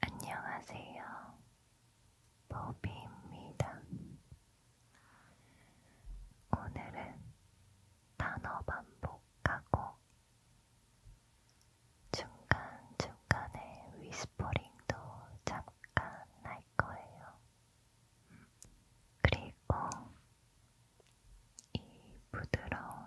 안녕하세요. 버비입니다. 오늘은 단어 반복하고 중간중간에 위스퍼링도 잠깐 할 거예요. 그리고 이 부드러운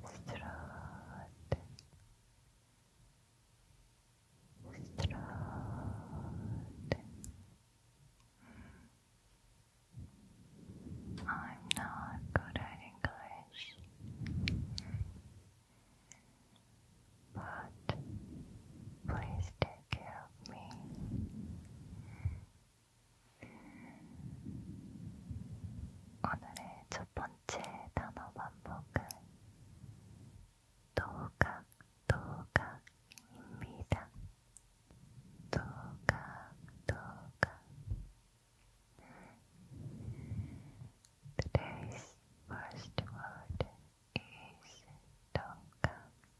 throat, throat. I'm not good at English, but please take care of me. 오늘의 첫 번째 번째 단어 반복은 도각, 도각입니다. 도각, 도각. Today's first word is doga,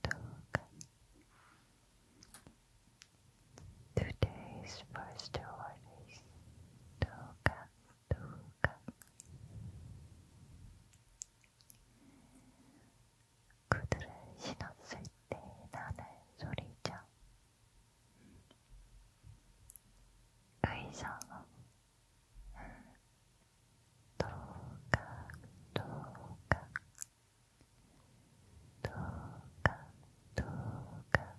doga. Today's first word is doga, Toga. 그들을 신었을 때 나는 소리죠. 의성 도각 도각 도각 도각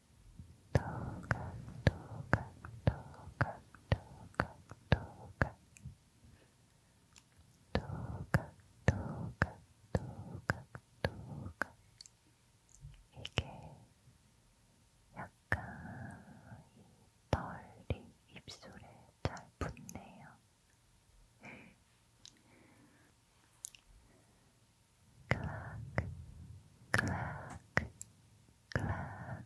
도각 도각 도각 도각 도각 도각 도각 도각 도각 이게 약간 털이 입술에 잘 붙네요. 클락, 클락, 클락,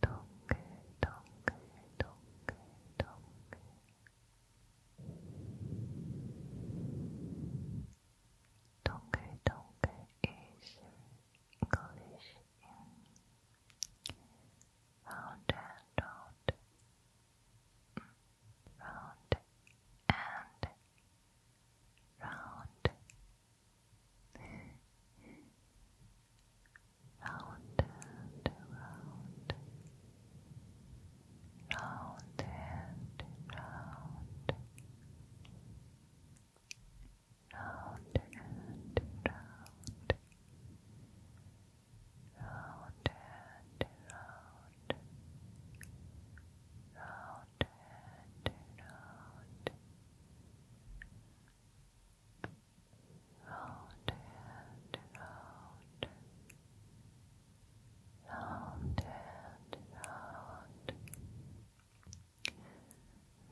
동글 동글 동글 동글 동글 동글 is English round and round round and round round and round, round and round, round and round. Round and round, round and round, round and round, round and round, round and round,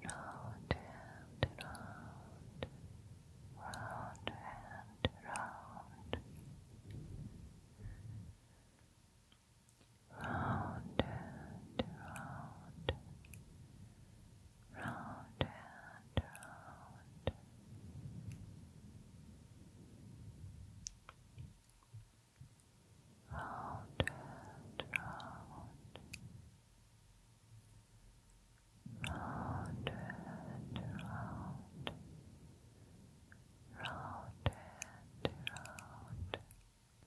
round and round. Round and round, round and round. Round and round, round and round, round and round,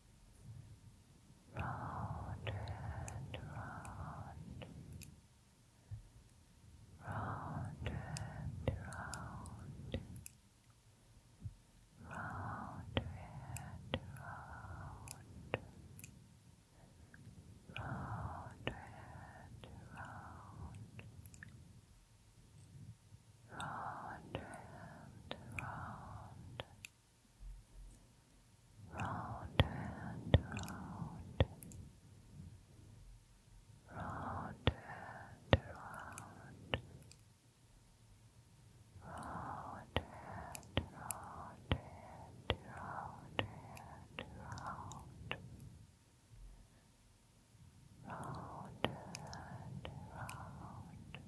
round and round, round and round, round and round. Round and round, rounder and round, rounder and round, rounder and round and round and round. Round and round,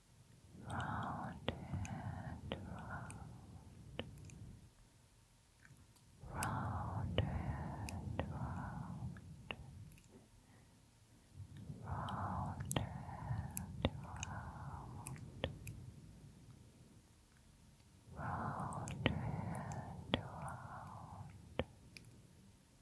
round and round. Round and round, round and round, round and round,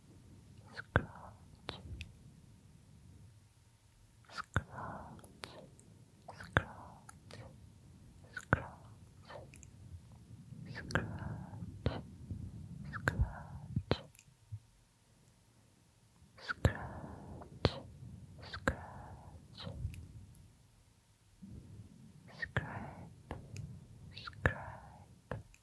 scratch, scratch, scratch, scratch, scratch, scratch. Scratch, scratch, scrape, scrape,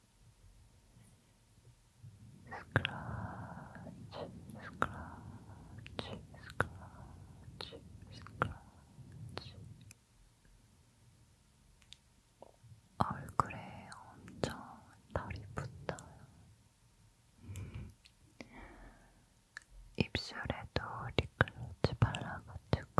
스크라치, 스크라치, 스크라치, 스크라치. 얼굴에 엄청 털이 붙어요. 입술에도 립글로즈 발라가지고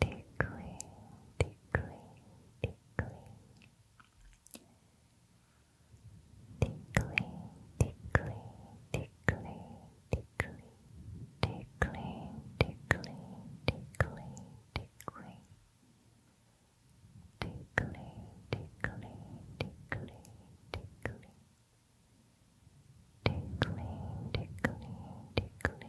Tickling, tickling, tickling. Tickling, tickling, tickling, tickling. Tickling, tickling, tickling, tickling. Tickling, tickling, tickling, tickling. Tickling, tickling, tickling, tickling,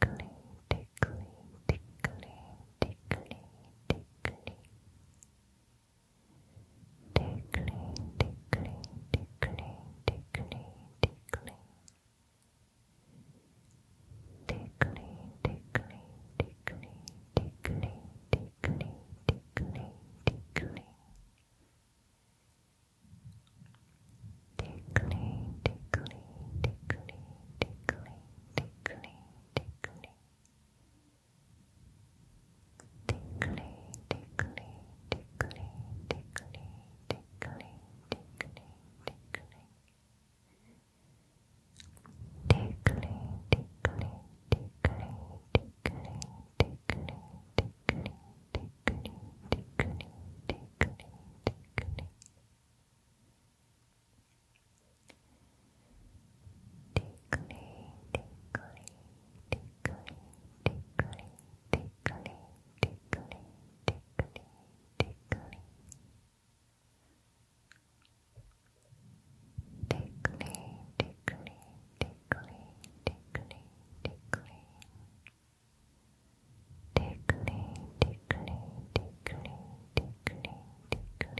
tickly, tickly, tickly, tickly, tickly. Tickly, tickly, tickly, tickly, tickly. Tickly, tickly, tickly, tickly, tickly, tickly, tickly. Tickly, tickly, tickly, tickly, tickly, tickly, tickly, tickly, tickly, tickly, tickly, tickly. Tickly, tickly, tickly, tickly, tickly, tickly, tickly, tickly, tickly, tickly, tickly, tickly, tickly, tickly, tickly, tickly, tickly. Tickly, tickly, tickly, tickly, tickly tickly, tickly, tickly, tickly, tickly.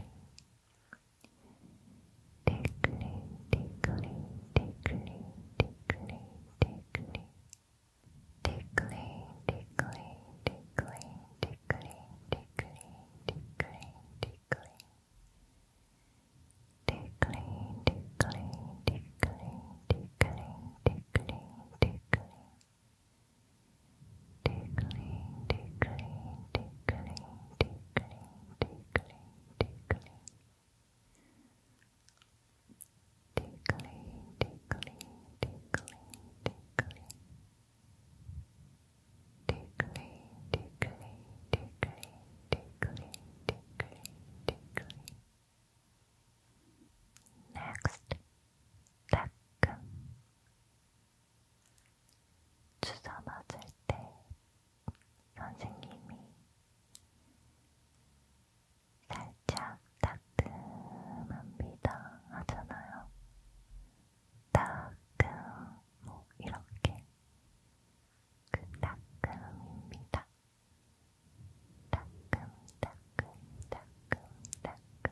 Tickly, tickly, tickly, tickly, tickly. Tickly, tickly, tickly, tickly, tickly, tickly, tickly. Tickly, tickly, tickly, tickly, tickly, tickly tickling, tickling, tickling, tickling, tickling, tickling. Tickling, tickling, tickling, tickling. Tickling, tickling, tickling, tickling, tickling, tickling. Next, duck, 주사 맞을 때 선생님이 살짝 따끔한 미다 하잖아요. 따끔, 뭐 이렇게 그 따끔입니다. 따끔, 따끔, 따끔, 따끔,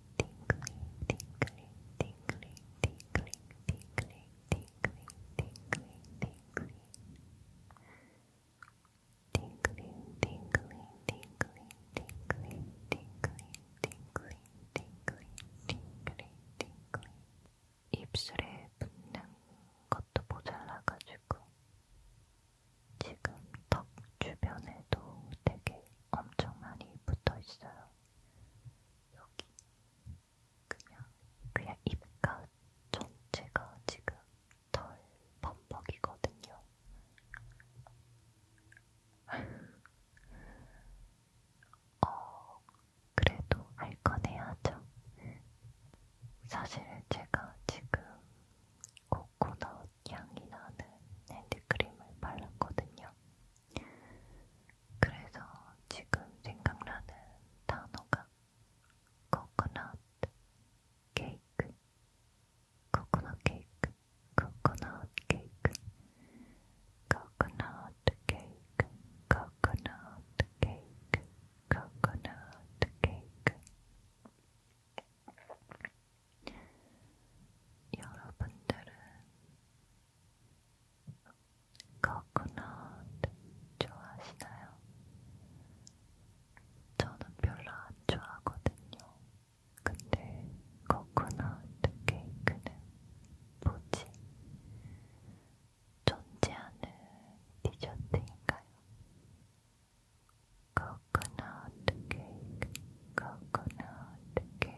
입술에 붙는 것도 모자라가지고 지금 턱 주변에도 되게 엄청 많이 붙어 있어요. 여기 그냥 그냥 입가 전체가 지금 덜 범벅이거든요. 어, 그래도 할건 해야죠. 사실 제가 지금 코코넛 향이 나는 핸드크림을 발랐거든요. 그래서 지금 생각나는 단어가 코코넛 케이크, 코코넛 케이크, 코코넛 케이크, 코코넛 케이크, 코코넛 케이크, 코코넛 케이크. 여러분들은 코코넛 좋아하시나요? 저는 별로 안 좋아하거든요. 근데 코코넛 케이크는 뭐지? 존재하는 디저트인가요? 코코넛 케이크, 코코넛 케이크,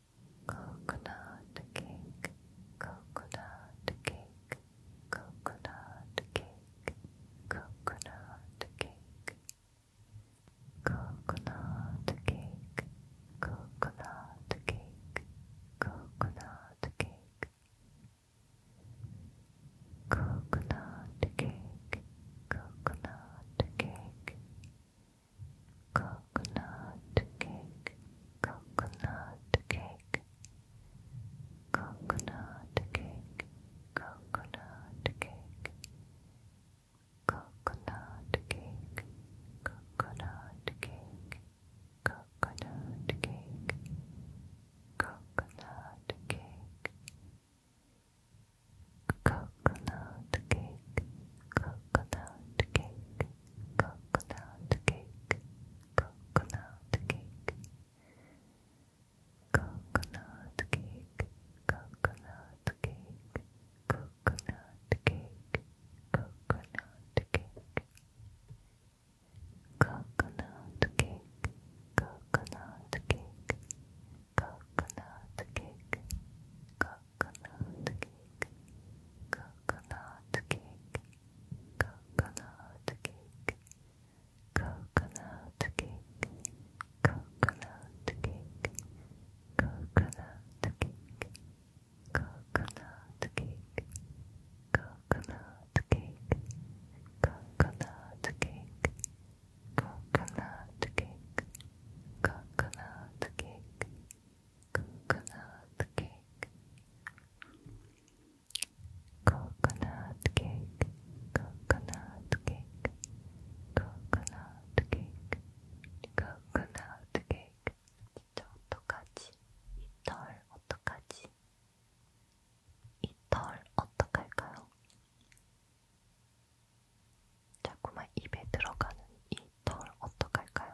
coconut cake, coconut cake, coconut cake, coconut cake, coconut cake, coconut cake, coconut cake, coconut cake, coconut cake. Coconut cake, coconut cake coconut cake coconut cake coconut cake coconut cake coconut cake coconut cake coconut cake coconut cake coconut cake, coconut cake, coconut cake, coconut cake, coconut cake, coconut cake, coconut cake, coconut cake, coconut cake, coconut cake, coconut cake coconut cake, coconut cake, coconut cake, coconut cake, coconut cake, coconut cake, coconut cake, coconut cake, coconut cake. 코코넛 케이크 코코넛 케이크 코코넛 케이크 코코넛 케이크 코코넛 케이크 진짜 어떡하지? 이털 어떡하지? 이 털 어떡할까요? 자꾸만 입에 들어가는 이털 어떡할까요?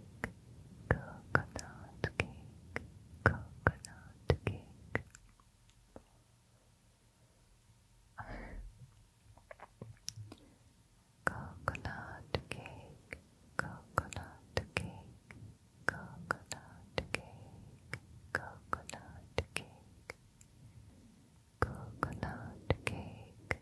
cake, coconut cake, coconut cake. coconut cake, coconut cake, coconut cake, coconut cake, coconut cake. Coconut cake,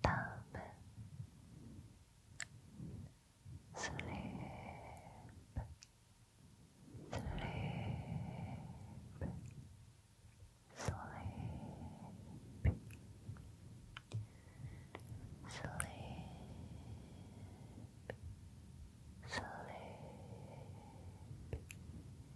다음은 슬립 슬립 슬립 슬립 Sleep,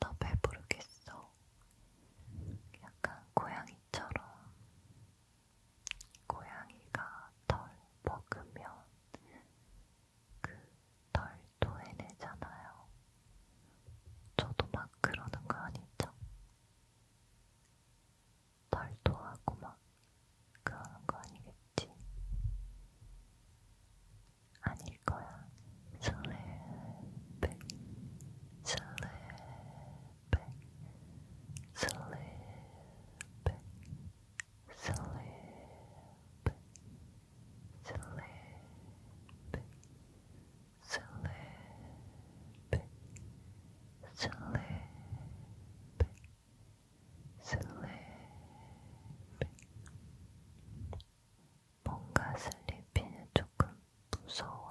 더 배부르겠어. 약간 고양이처럼 고양이가 덜 먹으면 그덜 토해내잖아요. 저도 막 그러는 거 아니죠? 덜 토하고 막 그러는 거 아니겠지? 아닐 거야. slipping, slipping, slipping, slipping, slipping, slipping, slipping, slipping. 뭔가 슬리피는 조금 무서워요.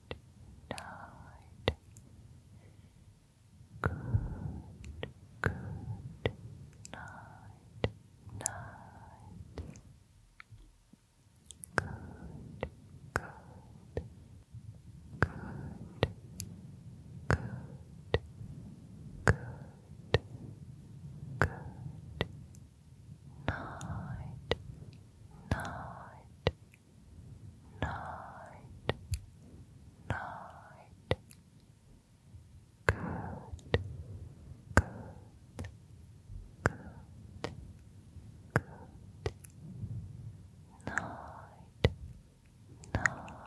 night. Good, good night, night. Good, good, good, good, good, good. Night, night, night, night. Good, good, good, good. Night, night, night, night.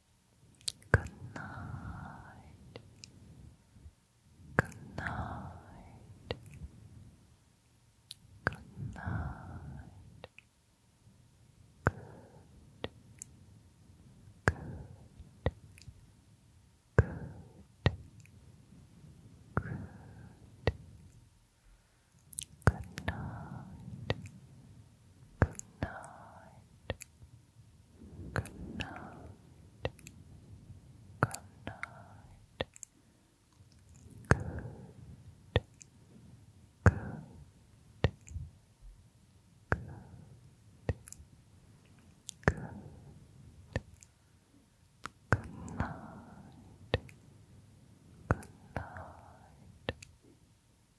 Good night. Good night. Good night. Good. Good. Good. Good. Good night. Good night. Good night. Good night. Good. Good. Good. Good. night. Good night.